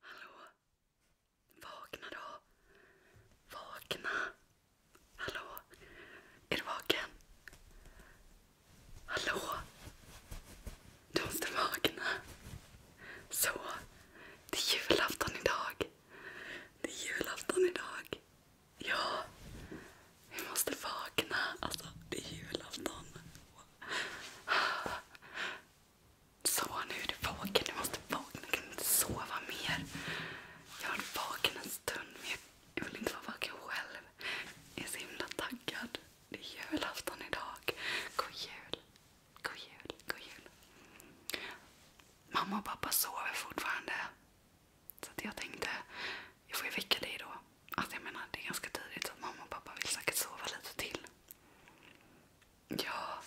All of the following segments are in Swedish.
Hallå? Hallå? Vakna då! Vakna! Hallå? Är du vaken? Hallå? Du måste vakna. Så, det är julafton idag. Det är julafton idag. Ja, vi måste vakna. Alltså, det är julafton. Wow. Så, nu är du vaken. Du måste vakna. Du kan inte sova mer. Jag har varit vaken en stund, men jag vill inte vara vaken själv. Jag är så himla taggad. Det är julafton idag. God jul. God jul. God jul. Mamma och pappa sover fortfarande. Så jag tänkte, jag får ju väcka dig då. Alltså jag menar, det är ganska tidigt så mamma och pappa vill säkert sova lite till. Ja,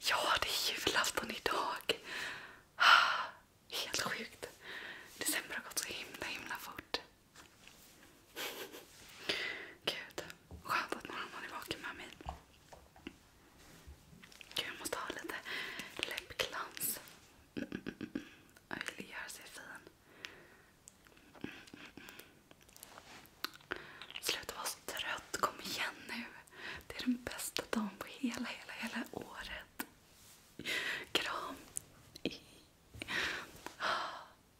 ja det är julafton idag. Helt sjukt. December har gått så himla himla fort. Gud, skönt att någon annan är vaken med mig. Gud, jag måste ha lite läppglans. Mm, mm, mm, jag ville göra sig fin. Sluta vara så trött. Kom igen nu. Det är den bästa dagen på hela, hela, hela året. Kram.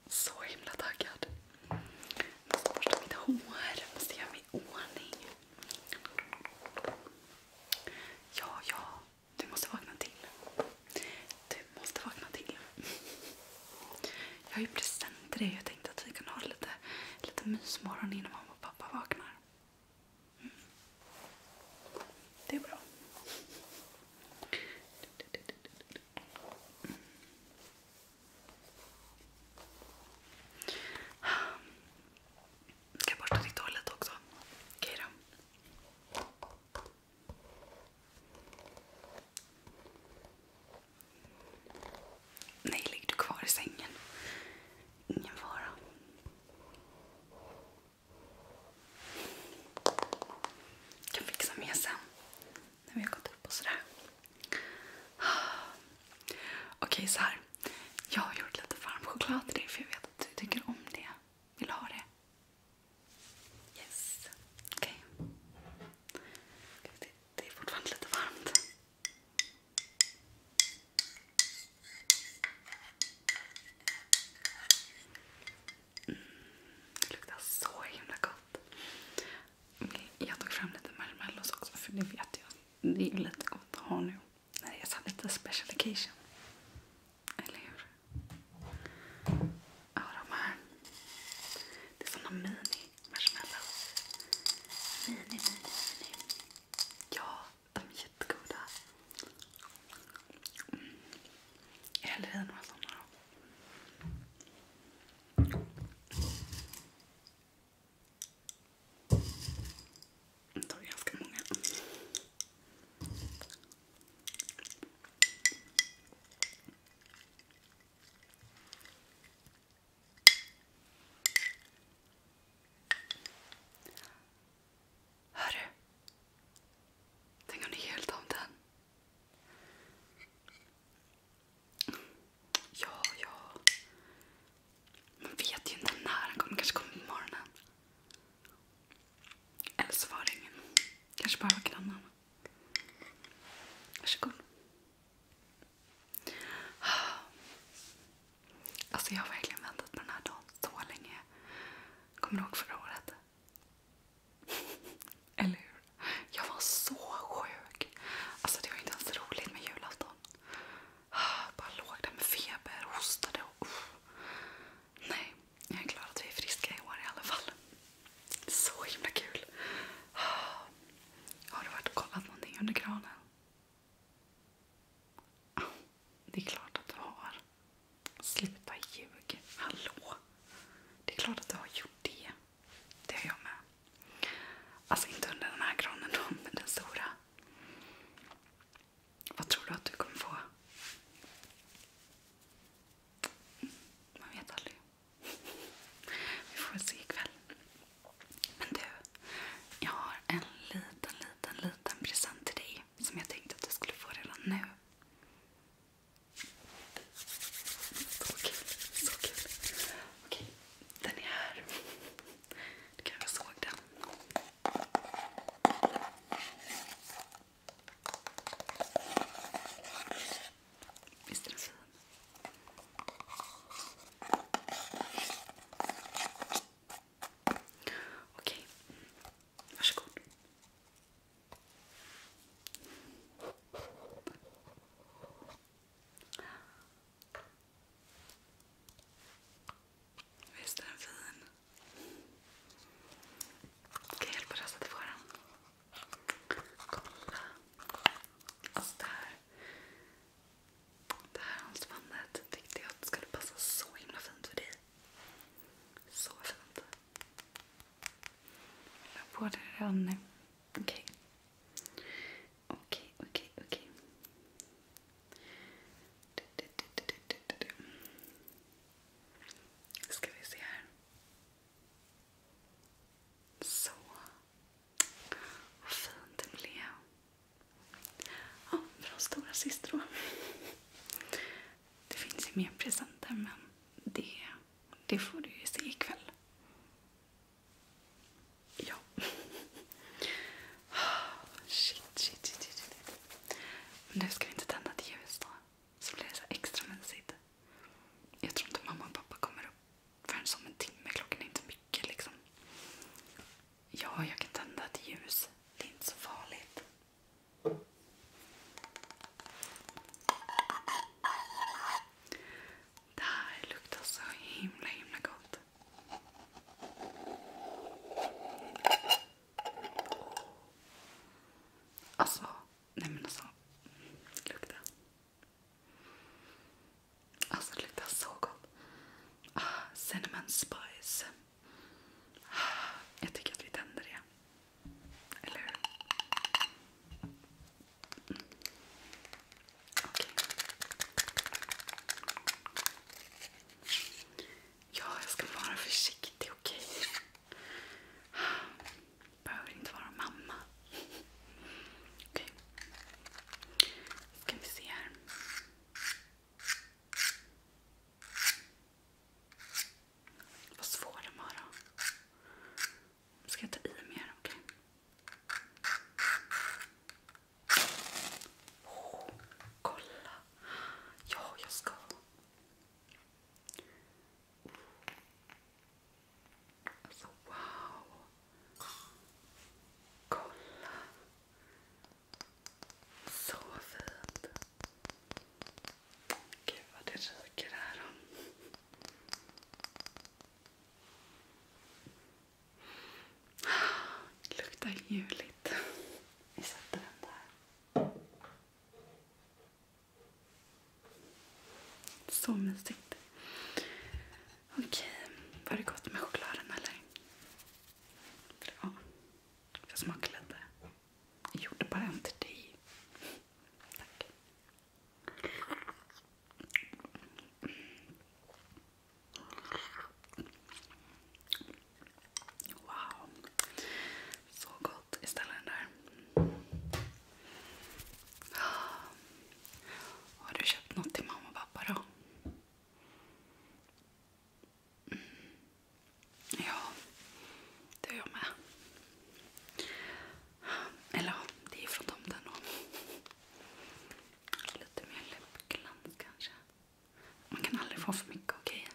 Så himla taggad. Jag måste borsta mitt hår. måste göra mig i Ja, ja. Du måste vakna till. Du måste vakna till. Jag har ju present till dig. Jag tänkte att vi kan ha lite, lite mysmorgon innan mamma och pappa vaknar. Mm. Det är bra. Ska jag borsta ditt hår lite också? Okej då. Nej, ligg du kvar i sängen. Ingen fara. Jag kan fixa med sen när vi har gått upp och sådär. Okej, så här. Jag har gjort lite varm choklad till dig för jag vet att du tycker om det. Vill du ha det? Yes. Okej. Det, är fortfarande lite varmt. Mm, det luktar så himla gott. jag tog fram lite marshmallows också för det vet jag. Det är ju lite gott att ha nu. när det är sa lite special occasion. Eller hur? Ja, de här. Det är såna mini-marshmallows. Mini, mini, mini. Ja, de är jättegoda. Mm. Jag häller i några sådana Jag tar ganska många. Hörru, tänk om det är jultomten? Ja, ja. Man vet ju inte när han kommer. kanske kommer på morgonen. Eller så var det ingen. kanske bara var grannen. Varsågod. Alltså jag har verkligen väntat på den här dagen så länge. Kommer du ihåg förra året? Eller hur? Jag var så sjuk. Alltså det var inte ens roligt med julafton. Jag bara låg där med feber, hostade och... Uff. Nej, jag är glad att vi är friska i år i alla fall. Så himla kul. Har du varit och kollat någonting under granen? Det är klart att du har. Sluta ljug. Hallå! Det är klart att du har gjort det. Det har jag med. Alltså inte under den här granen, då, men den stora. Vad tror du att du kommer få? Mm, man vet aldrig. Vi får se ikväll. Men du, jag har en liten, liten, liten present till dig som jag tänkte att du skulle få redan nu. Så kul, så kul. Okej, den är här. Du kanske såg den. Visst är den fin? Okej, varsågod. Visst är den fin? Ska jag hjälpa dig att få den? Kolla. Alltså det här. Det här halsbandet tyckte jag att skulle passa så himla fint för dig. Så fint. Jag på det redan nu. Okej. Okej, okej, okej. Ska vi se här. Så. Vad fint det blev. Ja, från stora syster då. Det finns ju mer presenter men det, det får du ju se ikväll. Ja. Shit, shit, shit, shit. shit. Men nu ska vi inte tända ett ljus då så blir det så extra mysigt. Jag tror inte mamma och pappa kommer upp förrän om en timme. Klockan är inte mycket. liksom. Ja, jag kan tända ett ljus. Det är inte så farligt. Det här luktar så himla, himla gott. Alltså, nej men alltså. Lukta. Alltså det luktar så gott. Ah, cinnamon spice. Ah, jag tycker att vi tänder det. Eller hur? Mm. Okej. Okay. Ja, jag ska vara försiktig, okej? Okay? behöver inte vara mamma. Okej. Okay. Ska vi se här. Vad svår den var då. Ska jag ta i mer? Okej. Okay. Oh, kolla! Ja, jag ska. Alltså wow! Kolla! Så fint! Gud vad det ryker här. Det luktar juligt. Vi sätter den där. Så mysigt. Okej, var det gott med chokladen eller? Ja, jag smakar lite. Jag gjorde bara en till dig. Tack. Wow. Så gott istället den där. Ah. Har du köpt något till mamma och pappa då? Mm. Ja, det har jag med. Eller det är från tomten då. Lite mer läppglans kanske. Man kan aldrig få för mycket, okej?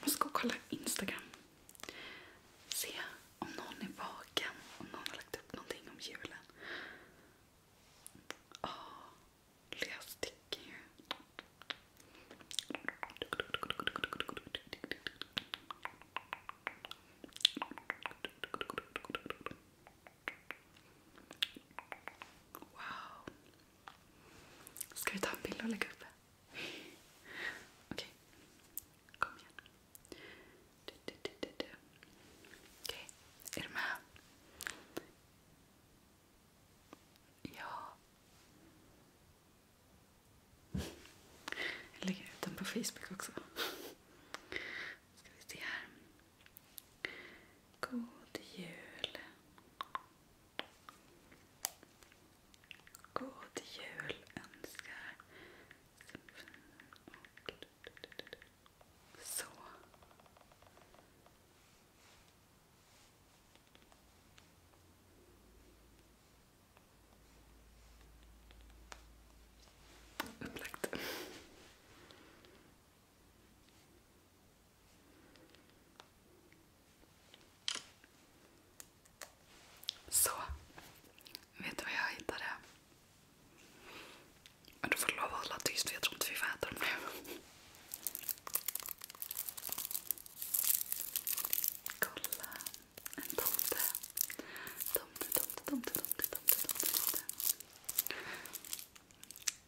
Jag ska kolla Instagram. Se om någon är vaken. Om någon har lagt upp någonting om julen. Åh, oh, läs Ska vi ta en bild och lägga upp? Okej. Kom igen. Okej, är du med? Ja. Jag lägger ut den på Facebook också. Ska vi se här. God jul. God jul önskar Så. Upplagt. Så. Vet du vad jag hittade? du får lov att hålla tyst för jag tror inte vi får äta dem nu. Kolla. En Tomte, tomte, tomte, tomte, tomte, tomte, tomte.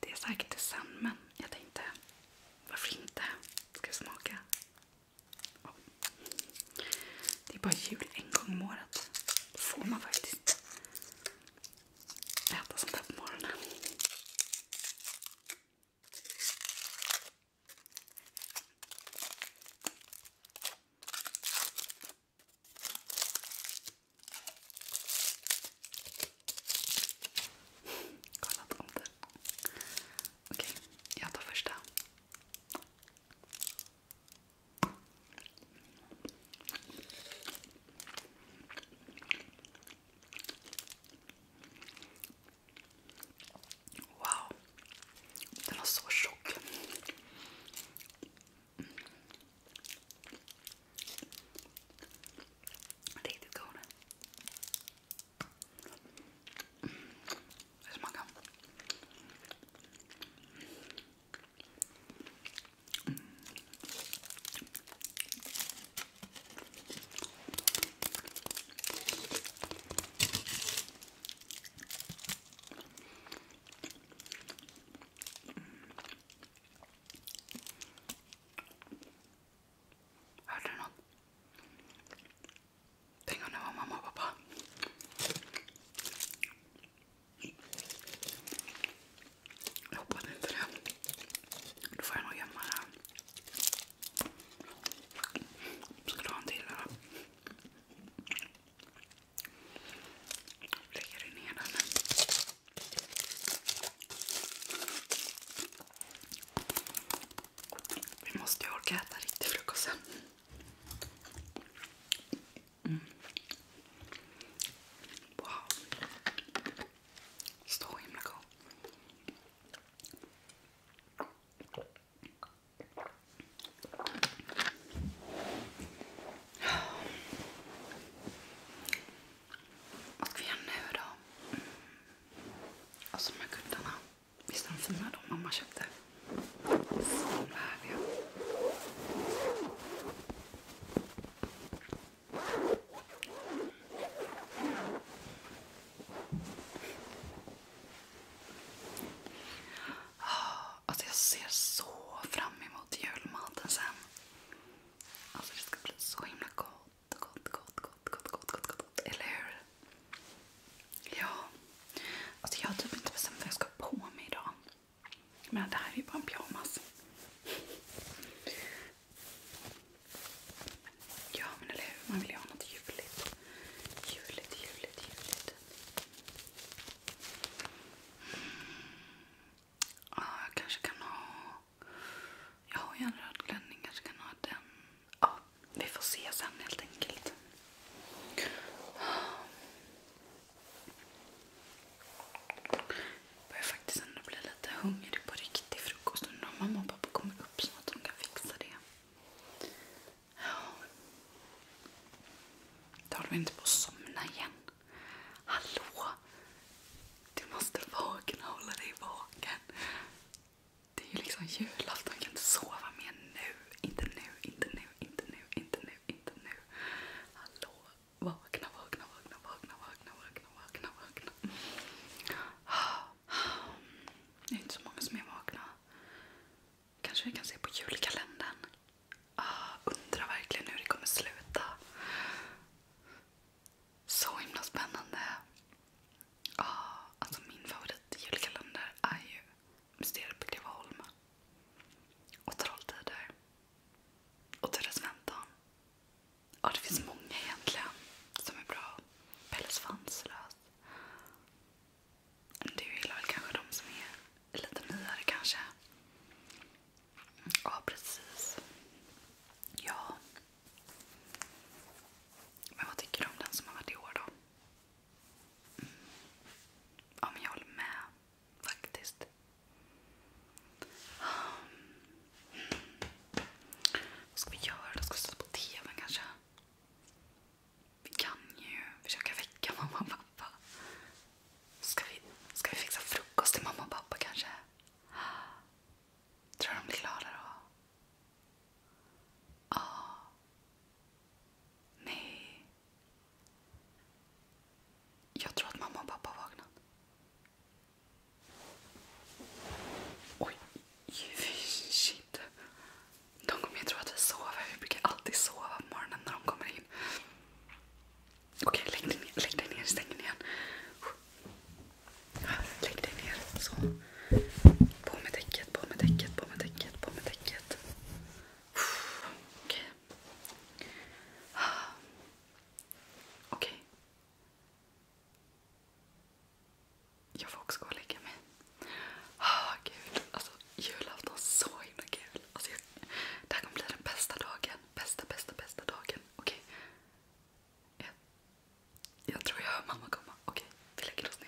Det är säkert det sen men jag tänkte varför inte? Ska vi smaka? Oh. Det är bara jul en gång om året. Då får man faktiskt äta sånt här på morgonen. Kolla tomten. Okej, okay, jag tar första. Wow, den var så tjock. Riktigt god. Det smakar. Mm. Hörde du någon? Tänk om det var mamma och pappa. Jag hoppas inte det. Då får jag nog gömma det Ska du ha en till eller? Lägger du ner den nu? Vi måste ju orka äta riktig frukost sen. Mm. Wow. Så himla god. Vad ska vi göra nu då? Mm. Alltså de här kuddarna. Visst är de fina de mamma köpte? Fan härliga. Ah, alltså, jag ser så fram emot julmaten sen. Alltså, det ska bli så himla gott gott, gott, gott, gott, Eller hur? Ja. Alltså, jag har typ inte bestämt vad jag ska ha på mig idag. Men det här är ju bara en pyjamas. Ja men eller hur, man vill ju ha något ljuvligt. Ljuvligt, ljuvligt, mm. Ja, jag kanske kan ha jag har ju en röd klänning, kanske kan ha den. Ja, vi får se sen helt enkelt. Jag börjar faktiskt ändå bli lite hungrig på riktig frukost. Undrar om mamma och pappa kommer upp så att de kan fixa det. Ja. Då håller vi inte på att somna igen. Hallå! Du måste vakna och hålla dig vaken. Det är ju liksom julafton, jag kan inte sova mer nu. Inte nu, inte nu, inte nu, inte nu, inte nu. Hallå? Vakna, vakna, vakna, vakna, vakna, vakna, vakna, vakna. Det är inte så många som är vakna. Kanske vi kan se på julkalendern. Ah, undrar verkligen hur det kommer sluta. Så himla spännande. Ja, alltså min favoritjulkalender är ju Mysteriet på Greveholm. Och Trolltider. Och Turres väntan. Ja, det finns många egentligen som är bra. Pelle Svanslös. Du gillar väl kanske de som är lite nyare kanske? Ja, precis. Ja, men vad tycker du om den som har varit i år då? Mm. Ja, men jag håller med faktiskt. Mm. Vad ska vi göra då? Ska vi sätta på TVn kanske? Vi kan ju försöka väcka mamma och pappa. Ska vi, ska vi fixa frukost till mamma och pappa kanske? Tror du de klarar av? Ja. Nej. Jag tror att mamma och pappa har vaknat. Oj, shit. De kommer ju tro att vi sover. Vi brukar alltid sova på morgonen när de kommer in. Okej, okay, lägg dig ner. Lägg dig ner. Stäng den igen. Lägg dig ner. Så. På med täcket, på med täcket, på med täcket, på med täcket. Okej. Okej. Jag får också gå och lägga mig. Oh, gud, alltså julafton är så himla kul. Alltså, jag, det här kommer bli den bästa dagen. Bästa, bästa, bästa dagen. Okej? Okay. Jag, tror jag hör mamma komma. Okej, vi lägger oss ner.